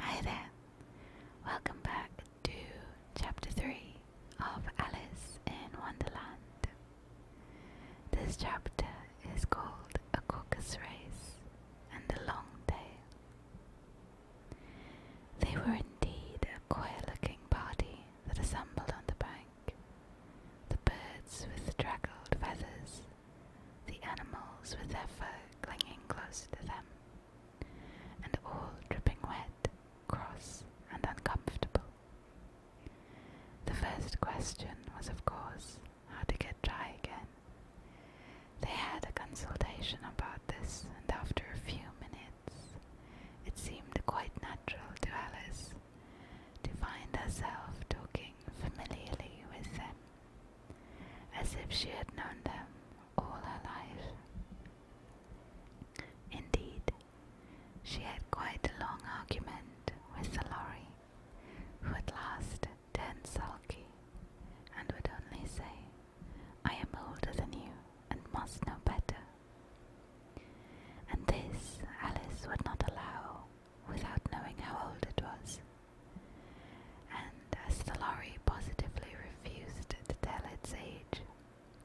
Hi there, welcome back to chapter 3 of Alice in Wonderland. This chapter is called A Caucus Race and a Long Tail. They were indeed a queer looking party that assembled on the bank. The birds with draggled feathers, the animals with their fur clinging close to them and all dripping wet, cross, and uncomfortable. The first question was, of course, how to get dry again. They had a consultation about this, and after a few minutes, it seemed quite natural to Alice to find herself talking familiarly with them, as if she had known them all her life. Indeed, she had quite a long argument with the lorry, who at last turned sulky and would only say, I am older than you and must know better. And this Alice would not allow without knowing how old it was. And as the lorry positively refused to tell its age,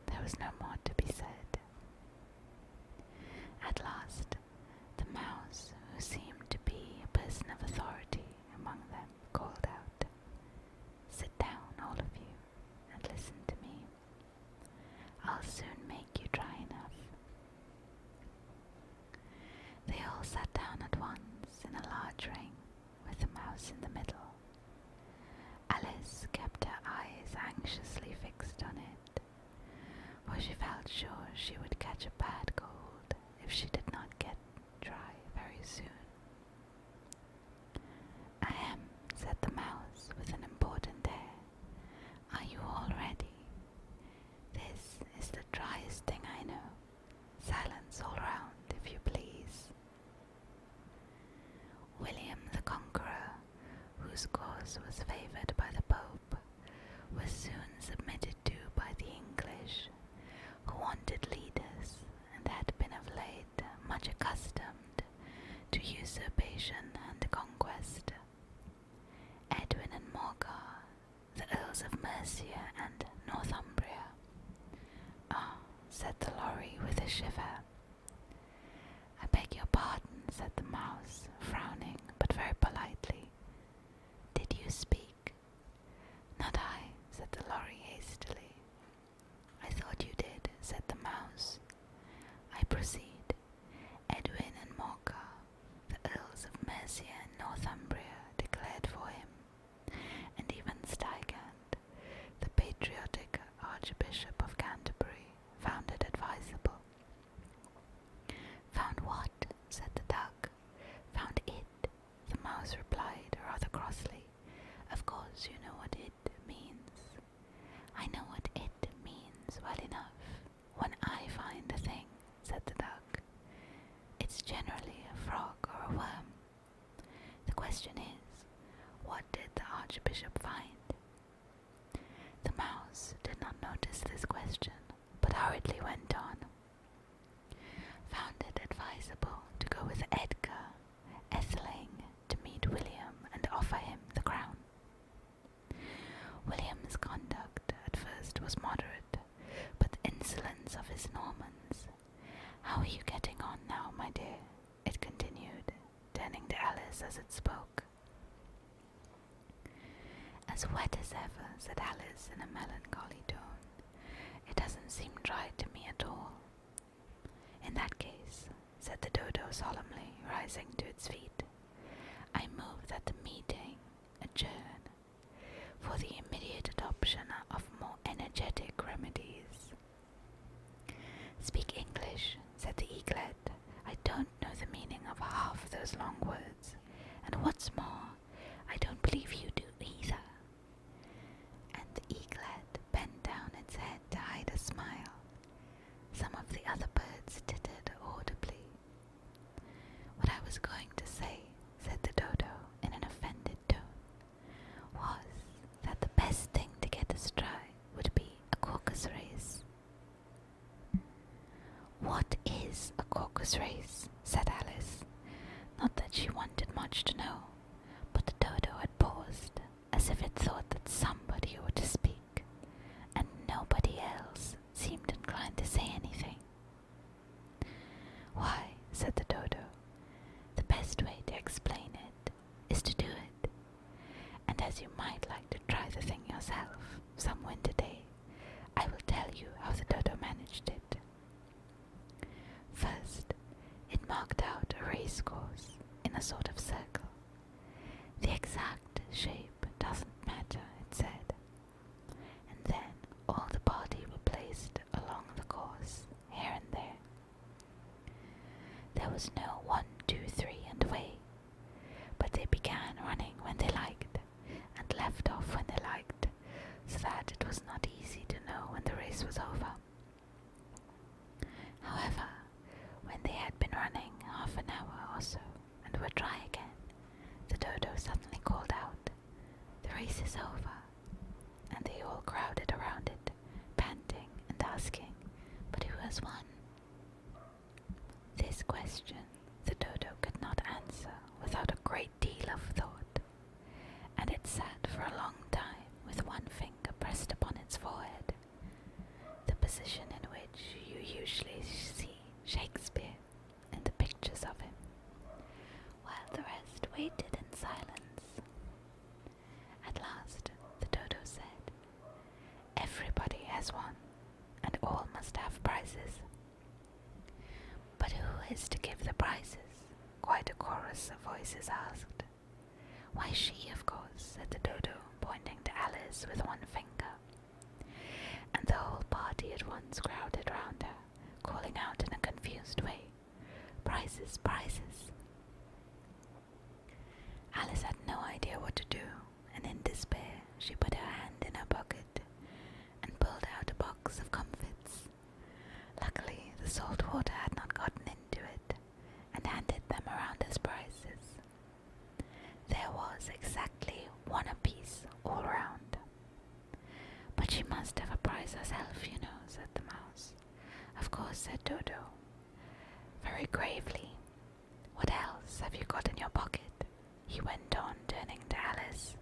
there was no more to be said. At last, the mouse, who seemed to be a person of authority among them, called out, Sit down, all of you, and listen to me. I'll soon make you dry enough. They all sat down at once in a large ring with the mouse in the middle. Alice kept her eyes anxiously fixed on it, for she felt sure she would catch a bad cold if she did not get dry very soon. Ahem, said the mouse with an important air. Are you all ready? This is the driest thing I know. Silence all round, if you please. William the Conqueror, whose cause was favoured by the Pope, was soon submitted to by the English, who wanted leaders and had been of late much accustomed to usurpation and conquest. Edwin and Morcar, the Earls of Mercia and Northumbria, Oh, said the lorry with a shiver. I beg your pardon, said the mouse, frowning but very politely. Did you speak? Not I, said the lorry hastily. I thought you did, said the mouse. I proceed. Edwin and Morcar, the Earls of Mercia and Northumbria, declared for him, and even Stigand, the patriotic Archbishop of Canterbury, found it advisable. Found what? said the duck. Found it, the mouse replied rather crossly. Of course, you know what it means. I know what it means well enough. When I find a thing, said the duck, it's generally a frog or a worm. The question is, what did the Archbishop find? The mouse did not notice this question, but hurriedly went on. Found it advisable to go with Edgar, Etheling, to meet William and offer him the crown. William's conduct at first was moderate, but the insolence of his Normans how are you getting on now, my dear? It continued, turning to Alice as it spoke. As wet as ever, said Alice in a melancholy tone. It doesn't seem dry to me at all. In that case, said the dodo solemnly, rising to its feet, I move that the meeting adjourn for the immediate adoption of more energetic remedies. Speak English, said the eaglet. I don't know the meaning of half those long words, and what's more, I don't believe you do either. And the eaglet bent down its head to hide a smile. Some of the other birds tittered audibly. What I was going to say, said the dodo in an offended tone, was that the best thing to get us dry would be a caucus race. What is a caucus race? said Alice. Not that she wanted much to know, but the dodo had paused, as if it thought that somebody ought to speak, and nobody else seemed inclined to say anything. Why, said the Dodo, the best way to explain it is to do it. And as you might like to try the thing yourself some winter day, I will tell you how the Dodo managed it. First, it marked out a race course in a sort of circle. The exact shape doesn't matter, it said. And then all the party were placed along the course here and there. There was no one, two, three, and away, but they began running when they liked and left off when they liked, so that it was not easy to know when the race was over. However, when they had been running half an hour or so and were dry again, the dodo suddenly called out, The race is over and they all crowded around it, panting and asking, But who has won? This question the dodo could not answer without a great deal of thought, and it sat for a long time with one finger pressed upon its forehead, the position in which you usually see Shakespeare in the pictures of him, while the rest waited in silence. At last the Dodo said, Everybody has one, and all must have prizes. But who is to give the prizes? Quite a chorus of voices asked. Why, she, of course, said the Dodo, pointing to Alice with one finger. And the whole party at once crowded round her, calling out in a confused way, Prices, prices. Alice had no idea what to do, and in despair she put her hand in her pocket and pulled out a box of comfits. Luckily, the salt water had not gotten into it and handed them around as prizes. There was exactly one apiece all round. But she must have a prize herself, you know, said the mouse. Of course, said Dodo, very gravely. What else have you got in your pocket? he went on, turning to Alice.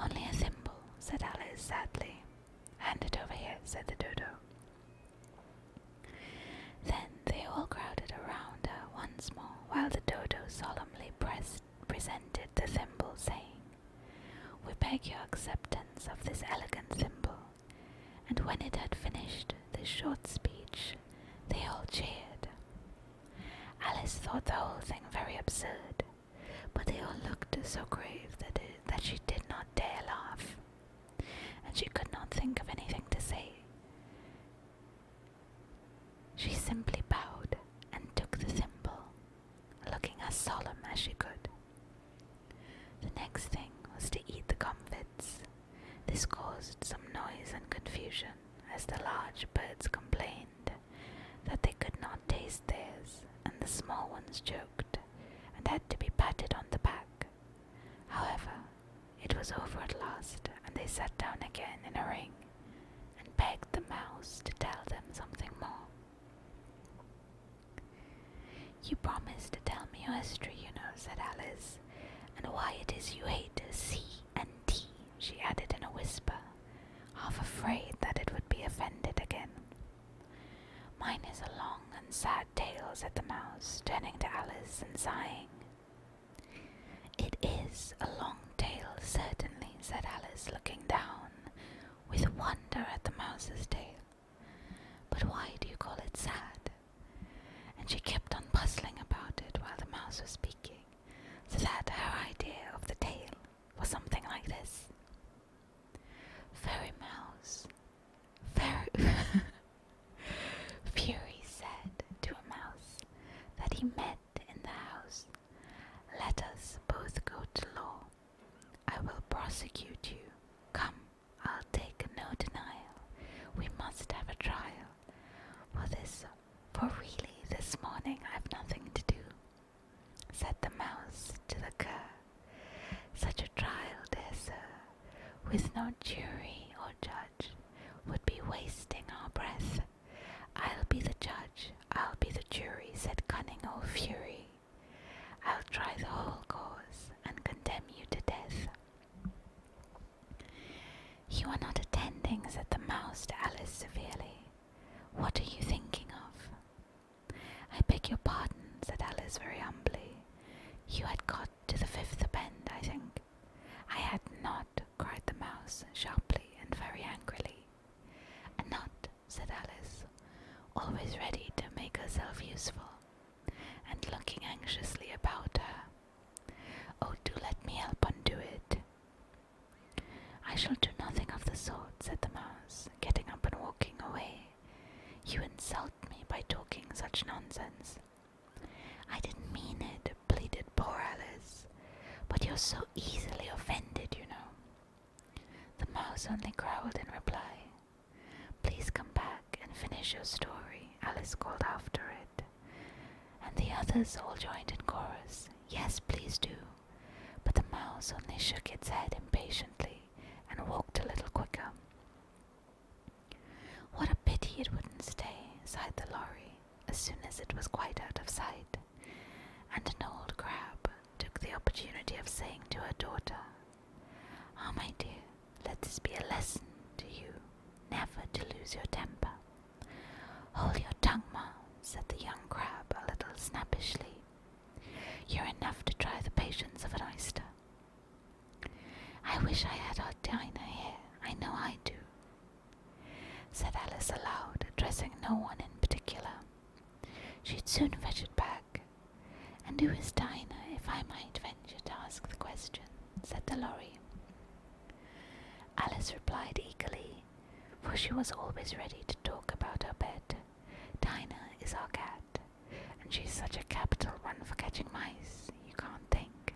Only a thimble, said Alice sadly. Hand it over here, said the Dodo. Then they all crowded around her once more, while the Dodo solemnly presented the thimble, saying, we beg your acceptance of this elegant thimble. And when it had finished this short speech, they all cheered. Alice thought the whole thing very absurd, but they all looked so grave that, that she did not dare laugh, and she could not think of anything to say. She simply bowed and took the thimble looking as solemn as she could. The next thing was to eat the comfits. This caused some noise and confusion as the large birds complained that they could not taste theirs, and the small ones joked and had to be patted on the back. However, it was over at last, and they sat down again in a ring and begged the mouse to tell them something more. You promised to tell me your history, you know, said Alice, and why it is you hate C and D, she added in a whisper, half afraid that it would be offended again. Mine is a long and sad tale, said the mouse, turning to Alice and sighing. It is a long tale, certainly, said Alice, looking down with wonder at the mouse's tail. But why do you call it sad? And she kept on puzzling about it while the mouse was speaking, so that her idea of the tale was something like this Fairy Mouse. Fairy. Fury said to a mouse that he met in the house, Let us both go to law I will prosecute you. Come, I'll take no denial. We must have a trial. For this, for really, this morning I've nothing to do, said the mouse to the cur. Such a trial, dear sir, with no jury or judge, would be wasting our breath. I'll be the judge, I'll be the jury, said cunning old fury. I'll try the whole cause and condemn you to death. You are not attending, said the mouse to Alice severely. What are you thinking of? I beg your pardon, said Alice very humbly. You had got to the fifth bend, I think. I had not, cried the mouse sharply and very angrily. A knot said Alice, always ready to make herself useful, and looking anxiously about her. Oh, do let me help undo it. I shall do nothing of the sort, said the mouse, getting up and walking away. You insult me by talking such nonsense. I didn't mean it, pleaded poor Alice, but you're so easily offended, you know. The mouse only growled in reply. Please come back and finish your story, Alice called after it. And the others all joined in chorus, Yes, please do. But the mouse only shook its head impatiently and walked a little quicker. What a pity it wouldn't stay, sighed the lory, as soon as it was quite out of sight. And an old crab took the opportunity of saying to her daughter, Ah, my dear, let this be a lesson to you never to lose your temper. Hold your tongue, ma, said the young crab a little snappishly. You're enough to try the patience of an oyster. I wish I had our dinner here, I know I do, said Alice aloud, addressing no one in particular. She'd soon fetch it back. And who is Dinah, if I might venture to ask the question? said the lorry. Alice replied eagerly, for she was always ready to talk about her pet. Dinah is our cat, and she's such a capital one for catching mice, you can't think.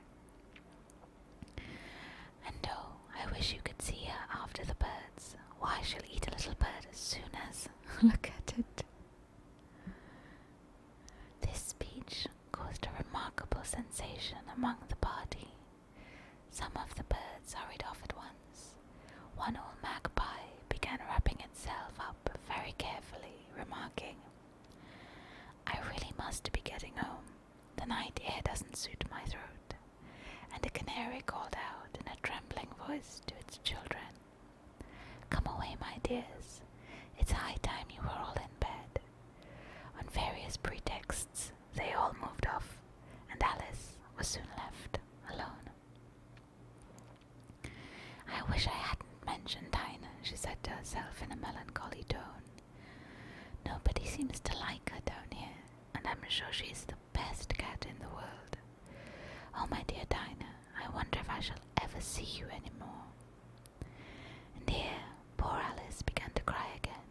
And oh, I wish you could see her after the birds. Why, she'll eat a little bird as soon as. Look at it. This speech caused a remarkable sensation among the party. Some of the birds hurried off at once. One old magpie began wrapping itself up very carefully, remarking, I really must be getting home. The night air doesn't suit my throat. And the canary called out in a trembling voice to its children, Come away, my dears. It's high time you were all in bed. On various pretexts, they all moved off, and Alice was soon left alone. I wish I hadn't mentioned Dinah, she said to herself in a melancholy tone. Nobody seems to like her down here, and I'm sure she's the best cat in the world. Oh, my dear Dinah, I wonder if I shall ever see you any more. And here poor Alice began to cry again,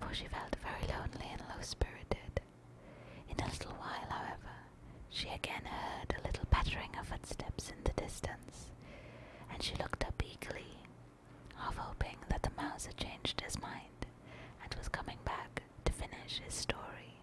for she felt very lonely and low spirited. In a little while, however, she again heard a little pattering of footsteps in the distance, and she looked up eagerly, half hoping that the mouse had changed his mind and was coming back to finish his story.